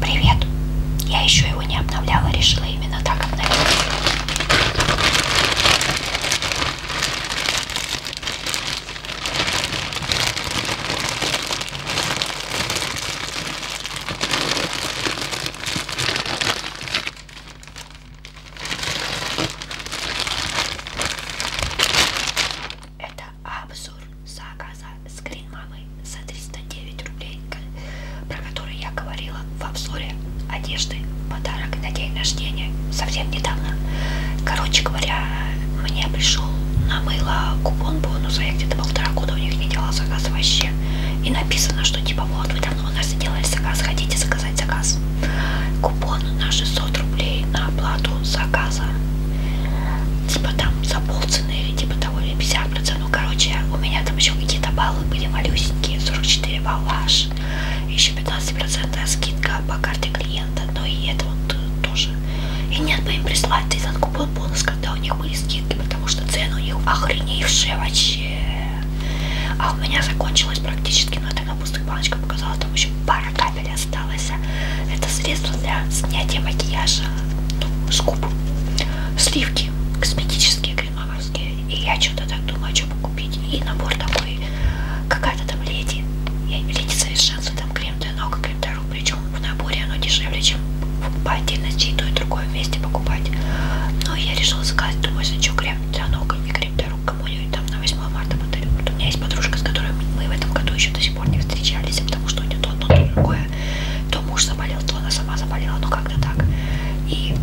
Привет. Я еще его не обновляла, решила именно так обновить. Это абсолютно обзор заказа скрин мамы за 309 рублей, про который я говорила в обзоре одежды подарок на день рождения совсем недавно. Короче говоря, мне пришел на мыло купон бонуса, я где-то полтора года у них не делала заказ вообще. И написано, что типа вот вы давно у нас сделали заказ, хотите заказать заказ. Купон на 600 рублей на оплату заказа. Типа там за полцены, типа того или 50%. Ну, короче, у меня там еще какие-то баллы были малюсенькие, 44 балла аж. Еще 15% скидка по карте клиента, но ну, и это вот э, тоже. И нет бы им прислать этот купон бонус, когда у них были скидки, потому что цены у них охреневшие вообще. А у меня закончилась практически, но ну, это на пустых баночках показала, там еще пара капель осталось. Это средство для снятия макияжа, ну, с губ сливки косметические кремоварские. И я что-то так думаю, что бы купить. И набор такой, какая-то там леди. Я, леди совершенство, там крем для ног, крем для рук. Причем в наборе оно дешевле, чем по отдельности и то, и другое вместе покупать. Но я решила заказать, думаю, что крем для ног и а крем для рук кому-нибудь там на 8 марта подарю. Вот у меня есть подружка, с которой мы в этом году еще до сих пор не встречались, потому что у нее то одно, то другое такая. То муж заболел, то она сама заболела, ну как-то так. И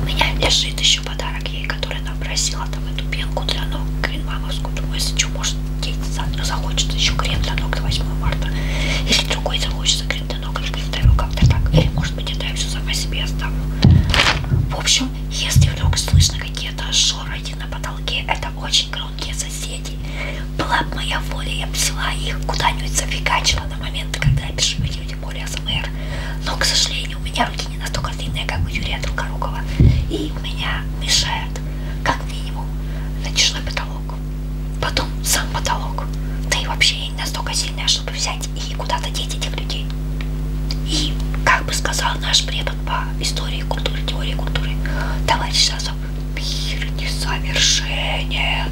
у меня лежит еще подарок ей, который она просила, там эту пенку для ног, крем мамовскую. Думаю, если что, может, ей захочется еще крем для ног до 8 марта. Или другой захочется крем для ног, или представил как-то так. Или, может быть, это я все сама себе оставлю. В общем, если вдруг слышно какие-то шорохи на потолке, это очень громкие соседи соседей. Была бы моя воля, я бы взяла их куда-нибудь зафигачила на момент, когда я пишу видео, тем более АСМР. Но, к сожалению, у меня руки не настолько длинные, как у Юрия Долгорукова. И у меня мешает, как минимум, натяжной потолок. Потом сам потолок. Да и вообще я не настолько сильная, чтобы взять и куда-то деть этих людей. И, как бы сказал наш препод по истории культуры, теории культуры, товарищ Сазов, мир несовершенен.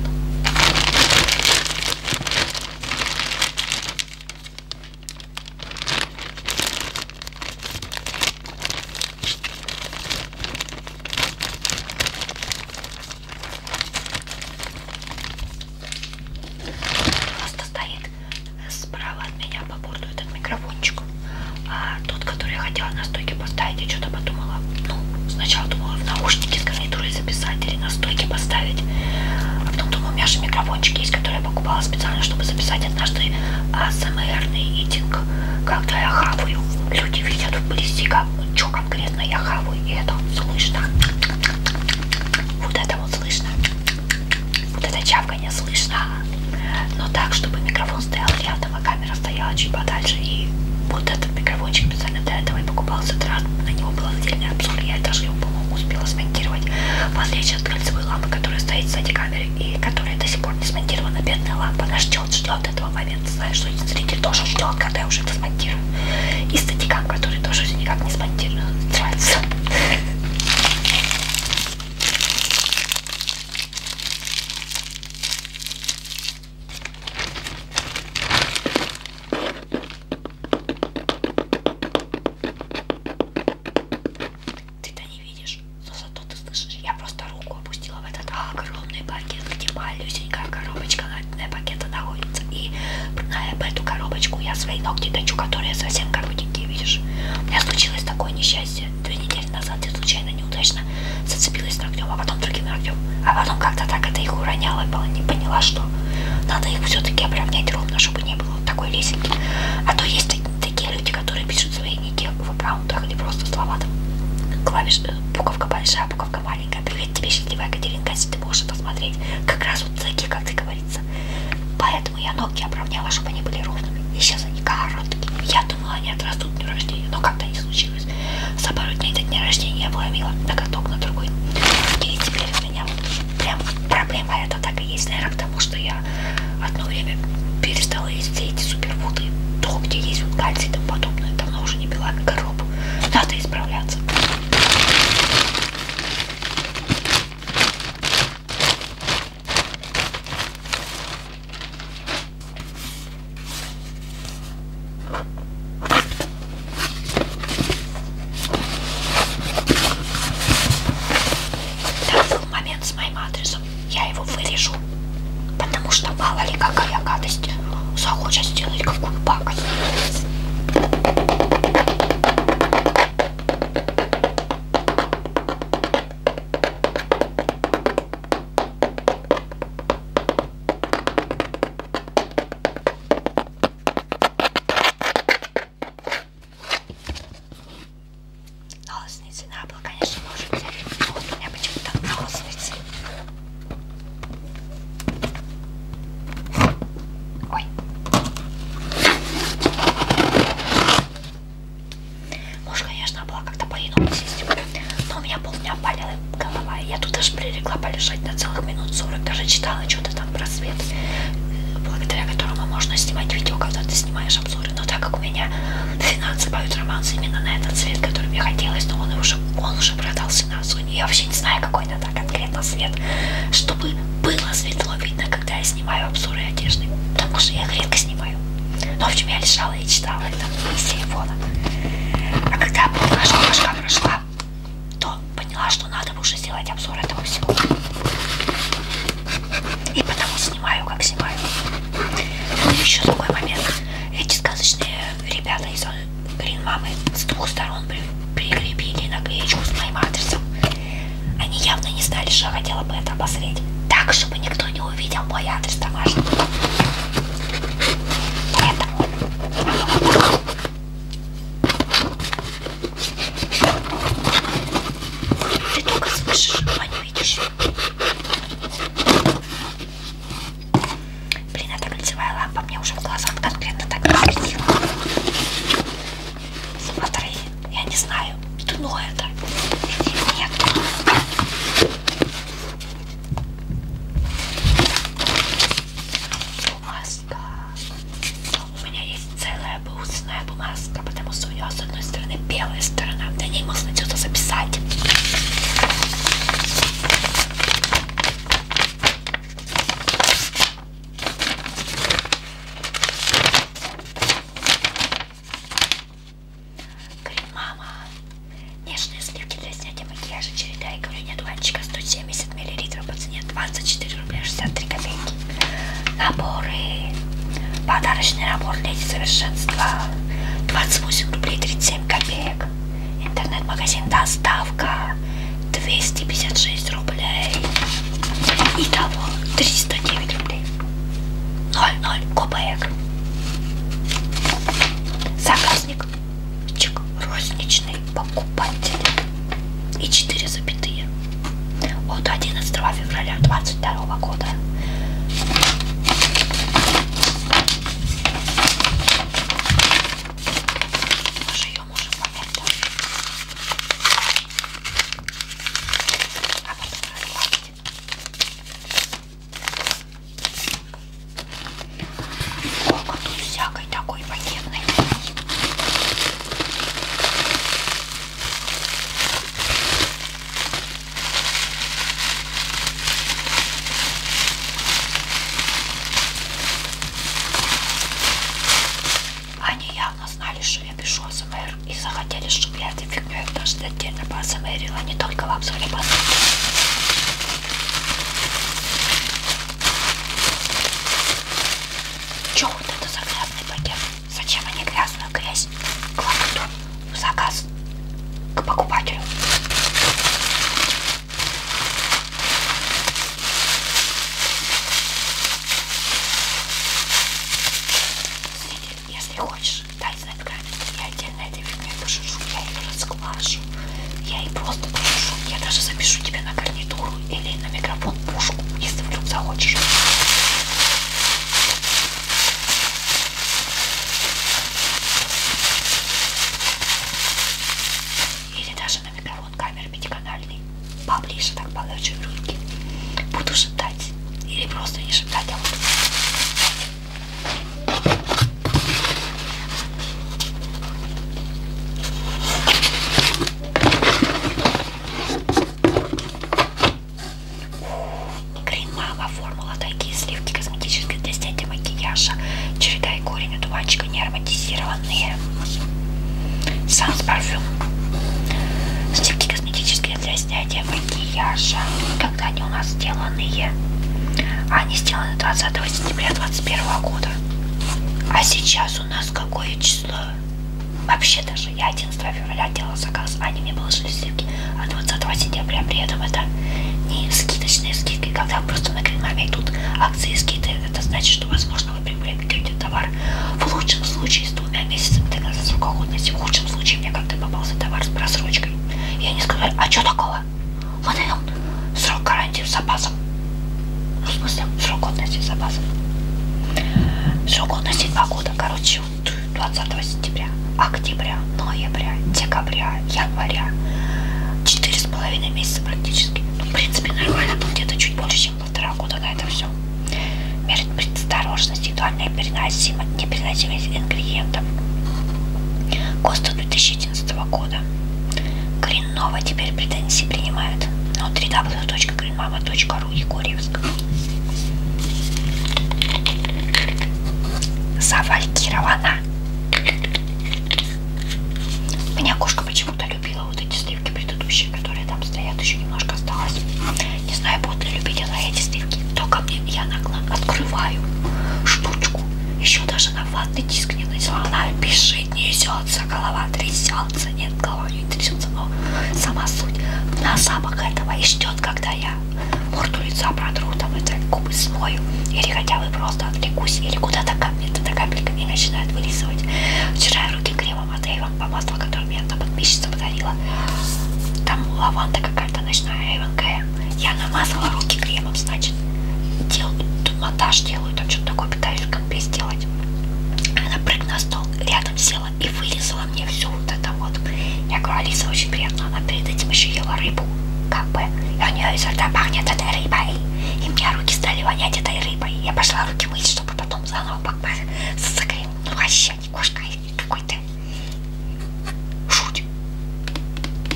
Просто стоит справа от меня по борту этот микрофончик, а тот, который я хотела на стойке стойке поставить. Я что-то подумала. Ну, сначала думала в наушники с гарнитурой записать или на стойке поставить. А потом думала, у меня же микрофончик есть, который я покупала специально, чтобы записать однажды АСМРный митинг. Когда я хаваю, люди видят вблизи, как, что конкретно я хаваю, и это слышно. Вот это вот слышно. Вот это чавканье слышно. Но так, чтобы микрофон стоял рядом этого камера стояла чуть подальше и вот этот микрофончик специально для этого и покупался этот раз, на него был отдельный обзор, я даже его, по-моему, успела смонтировать, в отличие от кольцевой лампы, которая стоит сзади камеры и которая до сих пор не смонтирована, бедная лампа, она ждет, ждет этого момента, знаешь, что зритель тоже ждет, когда я уже это смонтирую, и статикам, который тоже все никак не смонтирован, нравится. Ты-то не видишь, но зато ты слышишь. Я просто руку опустила в этот огромный пакет, где малюсенькая коробочка на пакета находится. И на эту коробочку я свои ногти точу, которые совсем коротенькие, видишь. У меня случилось такое несчастье. Две недели назад я случайно неудачно зацепилась ногтем, а потом другим ногтем. А потом как-то так это их уроняло, и не поняла, что надо их все-таки обравнять ровно, чтобы не было вот такой лесенки. А то есть такие люди, которые пишут свои ники в аккаунтах или просто слова там. Клавиш, э, буковка большая, буковка маленькая. Привет тебе, счастливая Катеринка, если ты можешь это смотреть. Как раз вот такие, как ты говорится. Поэтому я ноги обравняла, чтобы они были ровными. И сейчас они короткие. Я думала, они отрастут дню рождения, но как-то не случилось случилось. За пару дней до дня рождения я вломила на каток на другой. И теперь у меня вот прям проблема это так и есть, наверное, потому что я одно время перестала есть все эти суперфуды, то, где есть вот кальций и тому подобное. Давно уже не пила коробу. Надо исправляться. Там был момент с моим адресом. Я его вырежу. Потому что мало ли какая гадость захочет сделать какую пакость. Холостницы на было, конечно, может взять. Но вот у меня почему-то на холостницы. Ой. Может, конечно, было как-то по-иному систему. Но у меня полдня болела голова. Я тут аж прилегла полежать на целых минут 40. Даже читала что-то там про свет, э, благодаря которому можно снимать видео, когда ты снимаешь обзоры. Но так как у меня финансы поют романс именно на этот цвет, который мне хотелось, но он уже, он уже продался на Sony. Я вообще не знаю, какой надо конкретно свет, чтобы было светло видно, когда я снимаю обзоры одежды. Потому что я их редко снимаю. Но в общем я лежала и читала это из телефона. А когда был наш когда прошла, то поняла, что надо бы уже сделать обзор этого всего. И потому снимаю, как снимаю. Ну и еще другой момент. Эти сказочные ребята из Green э, Мамы с двух сторон при прикрепили наклеечку с моим адресом. Они явно не знали, что я хотела бы это обозреть. Так, чтобы никто не увидел мой адрес домашний. Поэтому ты только слышишь, а не видишь. Блин, эта лицевая лампа мне уже в глазах конкретно так светила. Смотри, я не знаю, дно это или нет бумажка. У меня есть целая бусная бумажка, потому что у нее с одной стороны белая сторона, на ней можно что-то записать. Говорит, мама, Нежные сливки для снятия макияжа. Череда и коврения дуванчика 170 мл по цене 24 рубля 63 копейки. Наборы. Подарочный набор Леди Совершенства. 28 рублей 37 копеек. Интернет-магазин Доставка. 256 рублей. Итого 309 рублей. 0,0 копеек. Заказник чек розничный покупатель и 4 запятые от 11 февраля 22 года мы же ее можем помять тоже а потом разгладить Сколько тут всякой такой пакетной Они явно знали, что я пишу АСМР и захотели, чтобы я этой фигней даже отдельно по АСМРила, а не только в обзоре по Че вот это за грязный пакет? Зачем они грязную грязь кладут в заказ к покупателю? Если хочешь, дай знать, как я отдельно этой фигней пошешу, я ее расклашу слышу. Я ей просто напишу. Я даже запишу тебе на гарнитуру или на микрофон пушку, если вдруг захочешь. Или даже на микрофон камеры пятиканальной. Поближе так положу руки. Буду шептать. Или просто не шептать, а вот... Крем Мама формула дорогие сливки косметические для снятия макияжа. Череда и корень одуванчика не ароматизированные. Санс парфюм. Сливки косметические для снятия макияжа. Когда они у нас сделанные? Они сделаны 20 сентября 2021 года. А сейчас у нас какое число? Вообще даже я 11 февраля делала заказ, они а мне положили скидки, а 20 сентября при этом это не скидочные скидки, когда просто на Гринмаме идут акции скидки, это значит, что возможно вы приобретете товар в лучшем случае с двумя месяцами до конца срока годности, в худшем случае мне как-то попался товар с просрочкой. И они сказали, а что такого? было. Выдавил срок гарантии с запасом. Ну, в смысле, срок годности с запасом. Срок годности два года, короче, 20 сентября, октября, ноября, декабря, января. Четыре с половиной месяца практически. Ну, в принципе, нормально, там где-то чуть больше, чем полтора года на это все. Мерит предосторожность, индивидуальная переносимость, непереносимость ингредиентов. ГОСТа 2009 2011 года. Гриннова теперь претензии принимает на www.greenmama.ru Егорьевск. Завалькирована. Меня кошка почему-то любила вот эти сливки предыдущие, которые там стоят, еще немножко осталось. Не знаю, будут ли любить она эти сливки. Только мне я нагло открываю штучку. Еще даже на ватный диск не начала. Она пиши несется, голова трясется, нет, голова не трясется, но сама суть на запах этого и ждет, когда я морду лица протру, там это губы смою, или хотя бы просто отвлекусь, или куда-то капелька, эта капелька мне начинает вылизывать. Вчера я руки кремом от Эйвен, помазала, которое мне одна подписчица подарила, там лаванда какая-то ночная Эйвен Кэм, я намазала руки кремом, хлебом, значит, делают, монтаж делаю, там что-то такое пытаюсь в компе сделать. Она прыгнула на стол, рядом села и вылезала мне все вот это вот. Я говорю, Алиса, очень приятно, она перед этим еще ела рыбу, как бы. И у нее изо рта пахнет этой рыбой. И мне руки стали вонять этой рыбой. Я пошла руки мыть, чтобы потом заново покупать с закрыть. Ну вообще, не кошка какой-то. Шуть.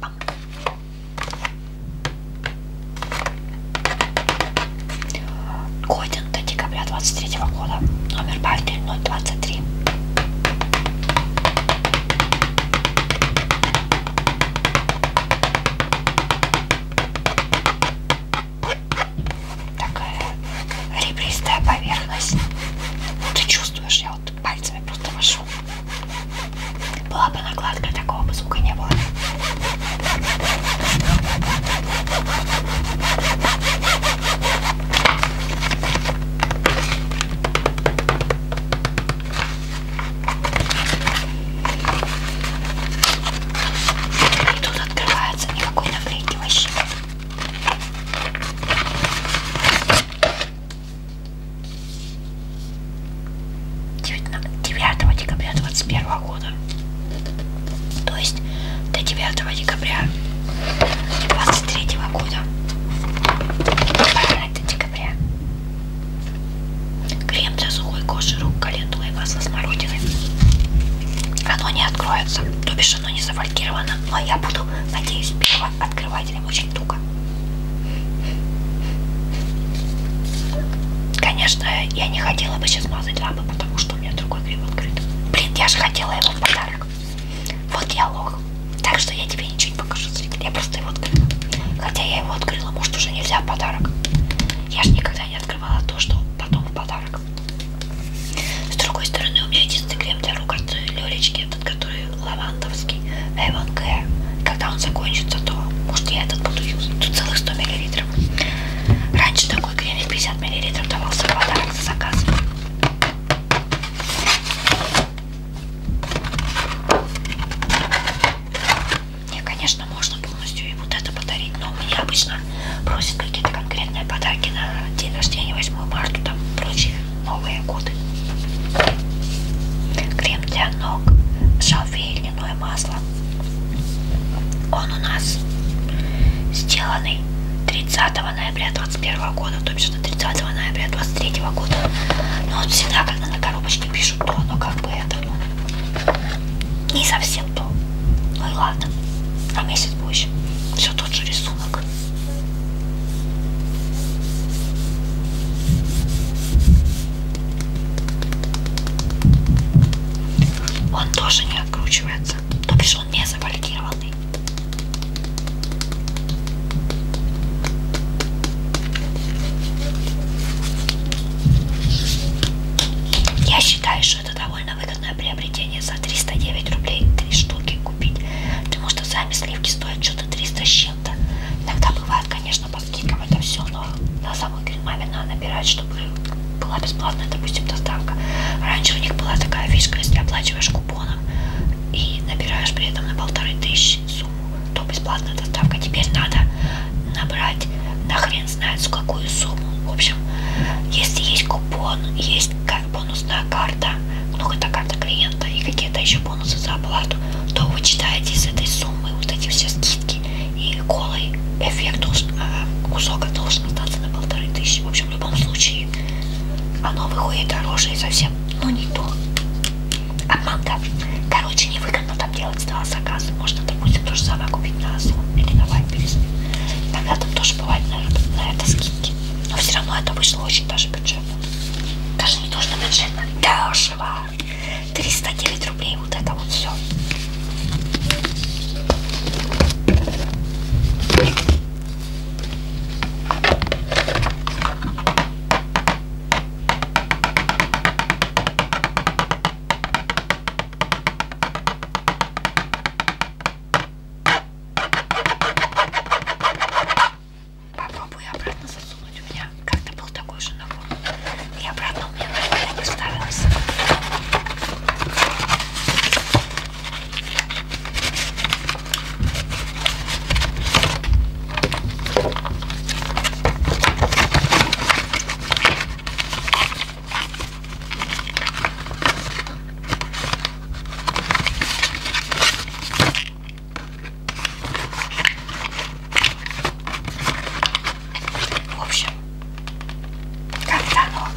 Пам. Годен до декабря 23 -го года. Номер партии 023. Такая ребристая поверхность. Ты чувствуешь, я вот пальцами просто машу. Была бы накладка, такого бы звука не было. И тут открывается никакой наклейки вообще. 9 ну, декабря 21 года. То есть до 9 декабря 23 года. Правильно, до декабря. Крем для сухой кожи рук, календулы и масло смородины. Оно не откроется, то бишь оно не завалькировано, но я буду, надеюсь, первое открывать покупателям очень туго. Конечно, я не хотела бы сейчас мазать лапы, потому что у меня другой гриб открыт. Блин, я же хотела его в подарок. Вот я лох. Так что я тебе ничего не покажу, я просто его открыла. Хотя я его открыла, может уже нельзя в подарок. Я же никогда не открывала то, что потом в подарок. С другой стороны, у меня единственный крем для рук от Лелечки этот, который лавандовский, Avon Care. Когда он закончится, то, может, я этот буду юзать. Тут целых 100 мл. Раньше такой кремик 50 мл давался в подарок за заказ. Не, конечно, можно полностью и вот это подарить, но мне обычно просят какие-то конкретные подарки на день рождения, 8 марта, там прочие Новые годы. Крем для ног, шалфей, льняное масло. Он у нас сделанный 30 ноября 21 года, то бишь 30 ноября 23 года. Но он всегда, когда на коробочке пишут то, но как бы это ну, не совсем то. Ну и ладно, на месяц позже. Все тот же рисунок. Он тоже не откручивается. То бишь он не завалидированный. Я считаю, что это довольно выгодное приобретение за 309 рублей три штуки купить, потому что сами сливки стоят что-то 300 с чем-то. Иногда бывают, конечно, конечно, по скидкам это все, но на самой маме надо набирать, чтобы была бесплатная, допустим, доставка. Раньше у них была такая фишка, если оплачиваешь купоном и набираешь при этом на полторы тысячи сумму, то бесплатная доставка. Теперь надо набрать на хрен знает с какую сумму. В общем, если есть купон, есть бонусная карта, ну это карта клиента и какие-то еще бонусы за оплату, то вы читаете из этой суммы вот эти все скидки и голый эффект должен, а, кусок должен остаться на полторы тысячи. В общем, в любом случае оно выходит дороже и совсем, ну не то. Обманка. Короче, невыгодно там делать стало заказы. Можно, допустим, тоже самое купить на Озон или на Вайперис. Иногда там тоже бывает на, на это скидки. Но все равно это вышло очень даже бюджетно. Даже не то, что бюджетно, дешево. 309 рублей вот это вот все Попробую обратно засунуть. У меня как-то был такой же набор. И обратно у меня нормально не вставилось. В общем, как-то оно.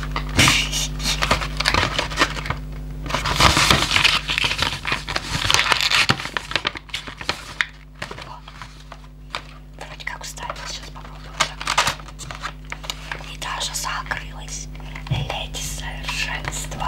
Вроде как вставила, сейчас попробую. И даже закрылась леди совершенства.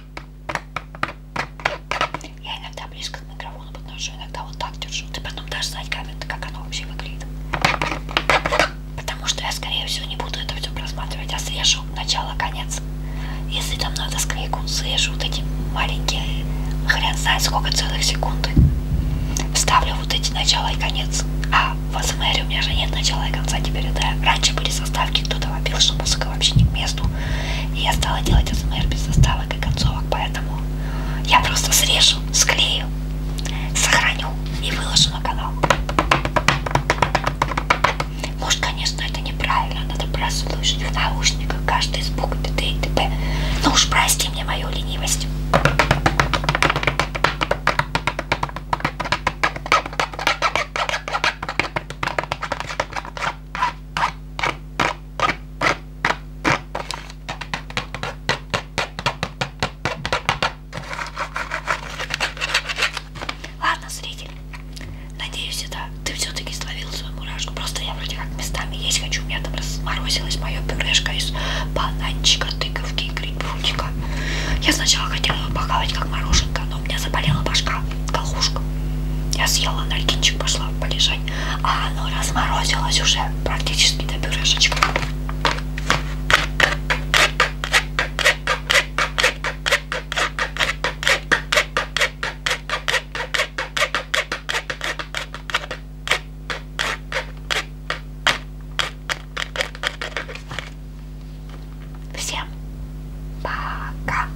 Я иногда близко к микрофону подношу, иногда вот так держу. Ты потом дашь знать, как, это, как оно вообще выглядит. Потому что я, скорее всего, не буду это все просматривать, а срежу начало-конец. Если там надо склейку, срежу вот эти маленькие, хрен знает сколько целых секунды. Вставлю вот эти начало и конец. А в АСМР у меня же нет начала и конца теперь, да? Раньше были составки, кто-то вопил, что музыка музыка вообще не к месту. И я стала делать АСМР без заставок и концовок, поэтому я просто срежу, склею, сохраню и выложу на канал. Может, конечно, это неправильно, надо просто слышать в наушниках каждый звук т.д. и т.п. Ну уж прости мне мою ленивость. Ладно, зритель, надеюсь, это ты все-таки словил свою мурашку. Просто я вроде как местами есть хочу. У меня там разморозилось мое пюрешка из бананчика, тыковки и грибрутика. Я сначала хотела его похавать как мороженка, но у меня заболела башка колушка. Я съела анальгинчик, пошла полежать, а оно разморозилось уже практически до пюрешечка. Всем пока!